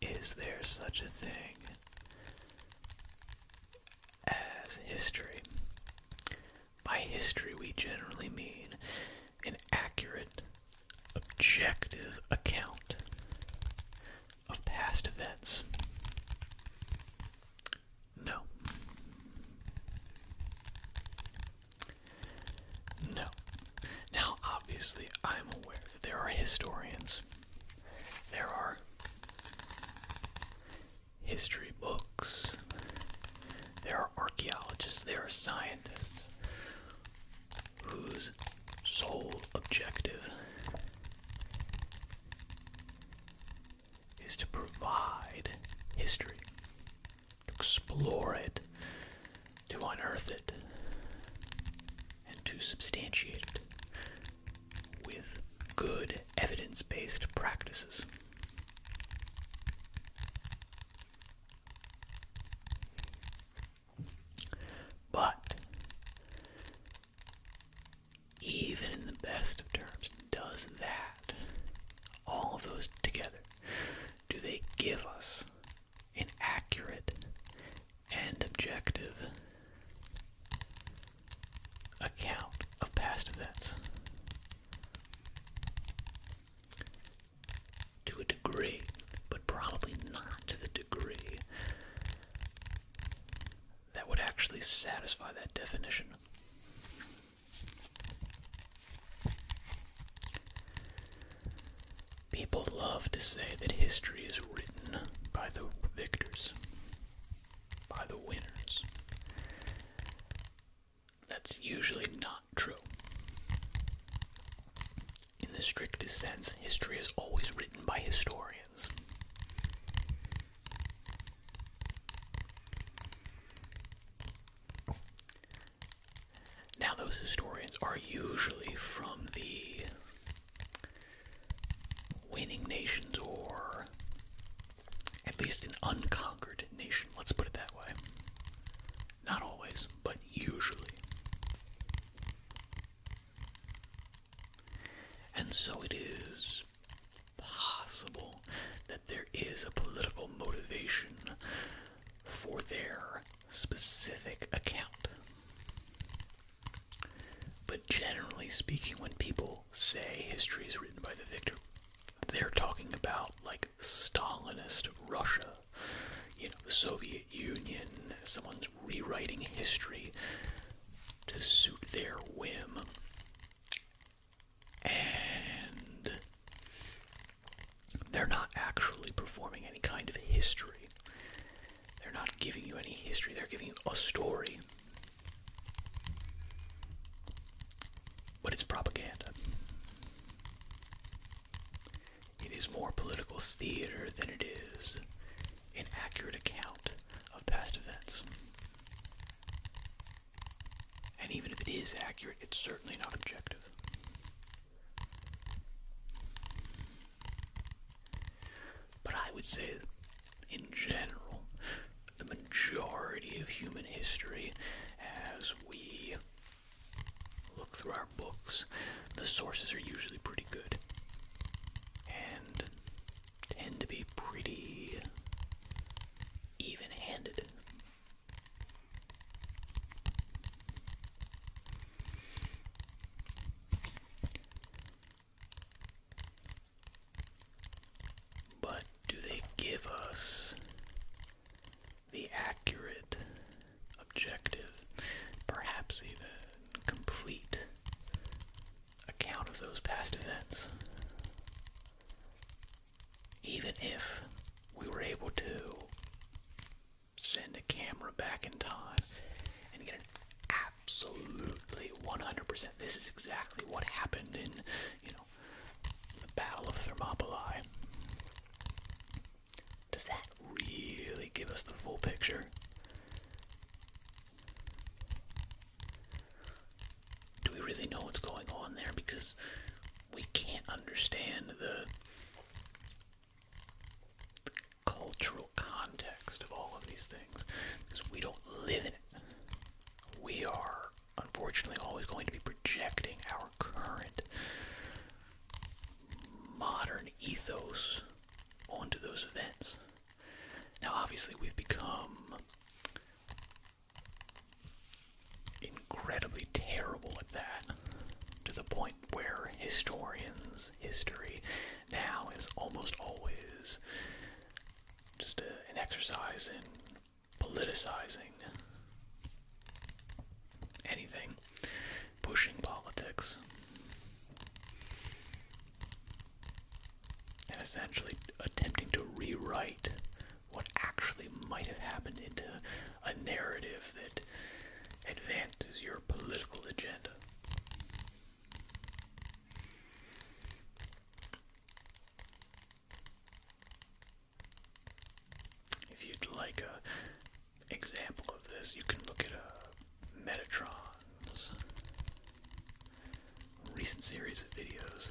Is there such a thing as history? By history, we generally mean an accurate, objective account of past events. No. No. Now, obviously, I'm aware there are historians. There are history books. There are archaeologists. There are scientists whose sole objective is to provide history, to explore it, to unearth it and to substantiate it with good evidence based practices. But even in the best of terms, does that, all of those together, do they give us and accurate and objective account of past events to a degree, but probably not to the degree that would actually satisfy that definition. People love to say that history is written by the victors, by the winners. That's usually not true. In the strictest sense, history is always written by historians. Now, those historians are usually from the winning nations or at least an unconquered nation, let's put it that way. Not always, but usually. And so it is possible that there is a political motivation for their specific account. But generally speaking, when people say history is written by the victor, they're talking about like Stalinist Russia, you know, the Soviet Union. Someone's rewriting history to suit their whim. And they're not actually performing any kind of history. They're not giving you any history, they're giving you a story. But it's propaganda. It is more political theater than it is an accurate account of past events. And even if it is accurate, it's certainly not objective. But I would say, in general, the majority of human history, as we look through our books, the sources are usually pretty good and tend to be pretty even handed. But do they give us the accurate, objective, perhaps even complete account of those past events? Even if we were able to send a camera back in time and get an absolutely 100%. This is exactly what happened in, you know, the Battle of Thermopylae. Does that really give us the full picture? Do we really know what's going on there? Because we can't understand the cultural context of all of these things because we don't live in it. We are unfortunately always going to be projecting our current modern ethos onto those events. Now, obviously, we've become incredibly terrible at that to the point where historians, history, now is almost always just an exercise in politicizing anything, pushing politics, and essentially attempting to rewrite what actually might have happened into a narrative that advances your political agenda. If you'd like a example of this, you can look at uh, Metatron's recent series of videos.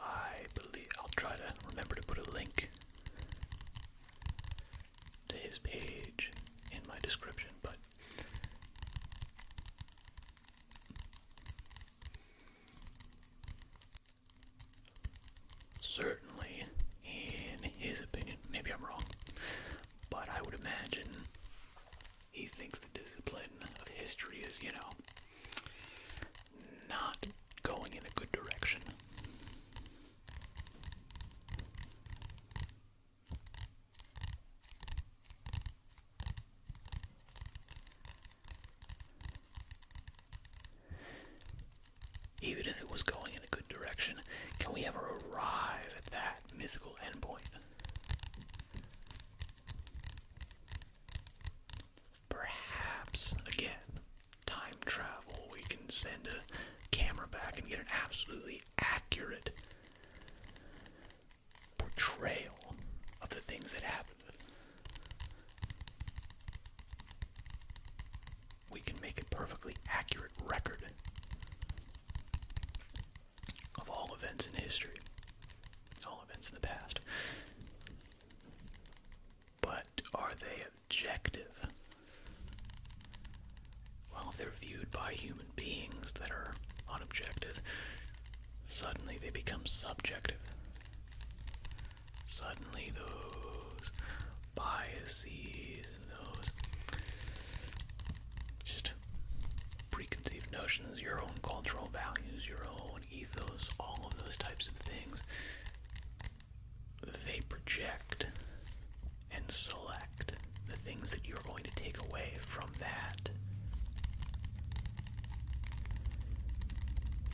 I believe I'll try to remember to put a link his page in my description, but certainly, in his opinion, maybe I'm wrong, but I would imagine he thinks the discipline of history is, you know, not going in a good direction. Even if it was going in a good direction, can we ever arrive at that mythical endpoint? Perhaps, again, time travel. We can send a camera back and get an absolutely accurate portrayal of the things that happened. We can make a perfectly accurate record of all events in history, all events in the past. But are they objective. Well, they're viewed by human beings that are unobjective, suddenly they become subjective. Suddenly, those biases and those just preconceived notions, your own cultural values, your own ethos, all of those types of things they project and select the things that you're going to take away from that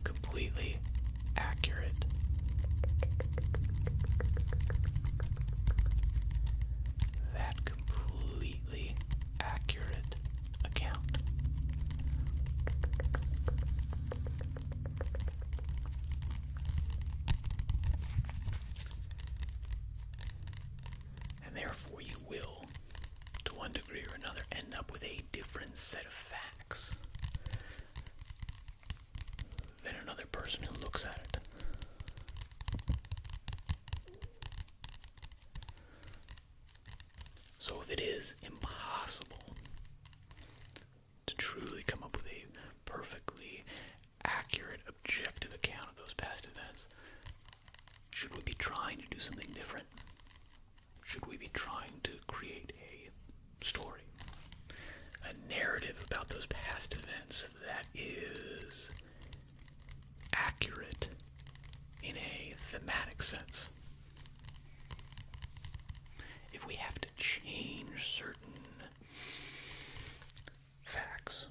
completely accurate. That completely accurate account. And therefore, you will, to one degree or another, end up with a different set of facts than another person who looks at it. So, if it is impossible to truly come up with a perfectly accurate, objective account of those past events. Should we be trying to do something different? Should we be trying to create a story, a narrative about those past events that is accurate in a thematic sense? If we have to change certain facts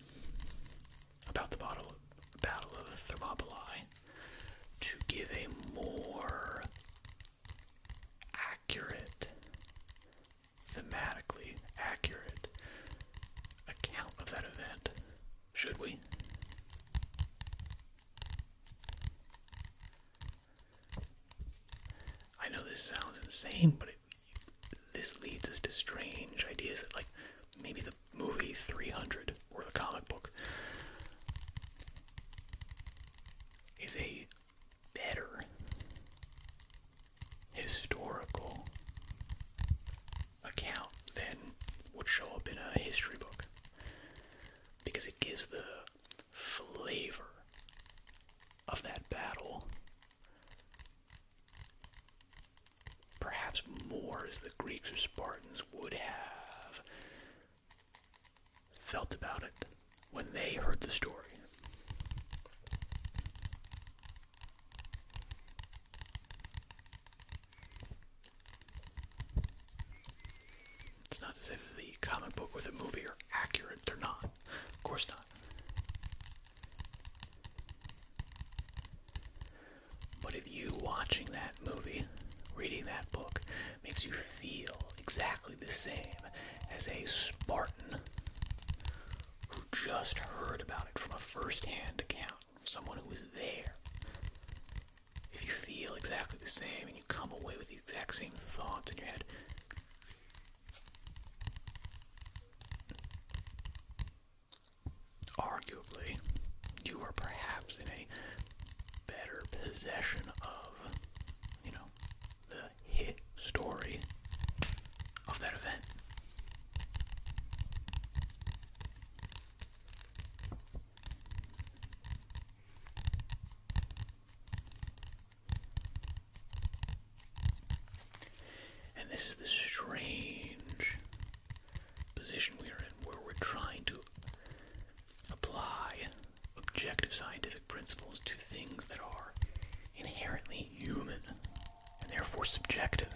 about the Battle of, Thermopylae to give a more accurate, thematically accurate account of that event. Should we? I know this sounds insane, but it, this leads us to strange ideas that, like, maybe the movie 300 or the comic book is a better historical account than would show up in a history book because it gives the flavor of that battle. Perhaps more as the Greeks or Spartans would have felt about it when they heard the story. It's not to say that the comic book or the movie are accurate. They're not. Of course not. But if you watching that movie, reading that book, makes you feel exactly the same as a Spartan who just heard about it from a first hand account, from someone who was there, if you feel exactly the same and you come away with the exact same thoughts in your head. Arguably, you are perhaps in a better possession of, you know, the hit story of that event. And this is the strange position we are in where we're trying to apply objective scientific principles to things that are inherently human and therefore subjective.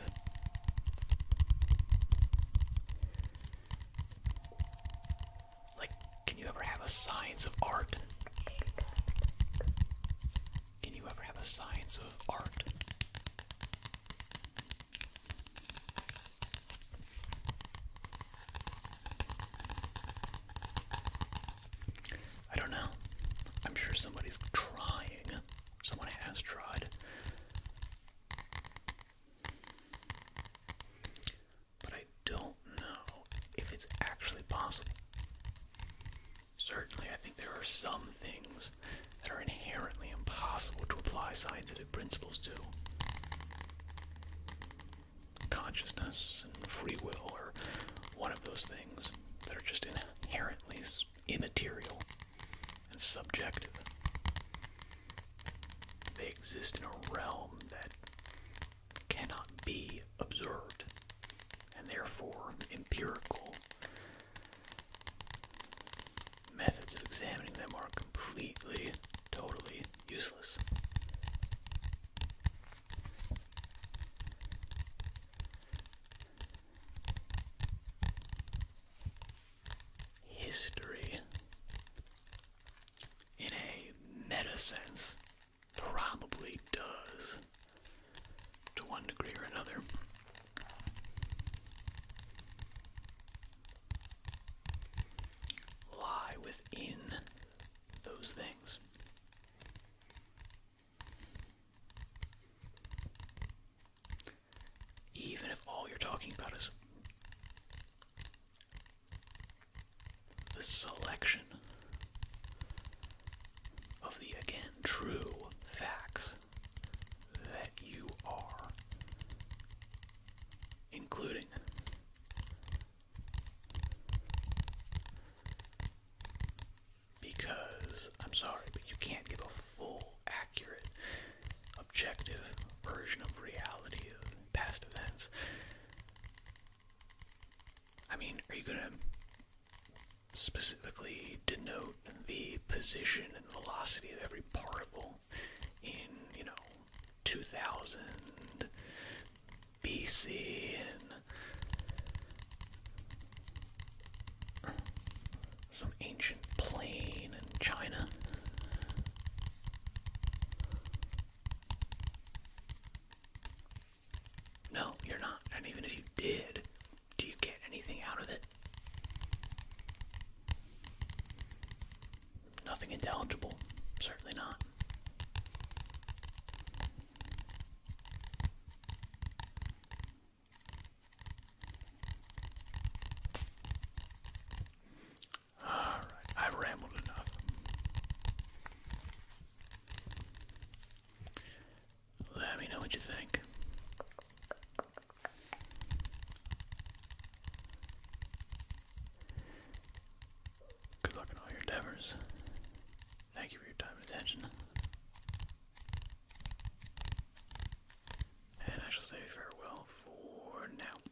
Like, can you ever have a science of art? Can you ever have a science of art? I don't know. I'm sure somebody's trying. Someone has tried but I don't know if it's actually possible. Certainly, I think there are some things that are inherently impossible to apply scientific principles to. Consciousness and free will are one of those things that are just inherently immaterial and subjective. They exist in a realm that cannot be observed and therefore empirical methods of examining them are completely, totally useless. History in a meta sense, probably does to one degree or another. Lie within those things. Even if all you're talking about is the selection of the again true facts that you are including because I'm sorry, but you can't give a full, accurate, objective version of reality of past events I mean, are you gonna specifically denote the position and velocity of every particle in, you know, 2000 BC and some ancient plain in China? No, you're not. And even if you did, do you get anything out of it? Nothing intelligible. Certainly not. Alright, i rambled enough. Let me know what you think. Good luck in all your endeavors. Thank you for your time and attention. And I shall say farewell for now.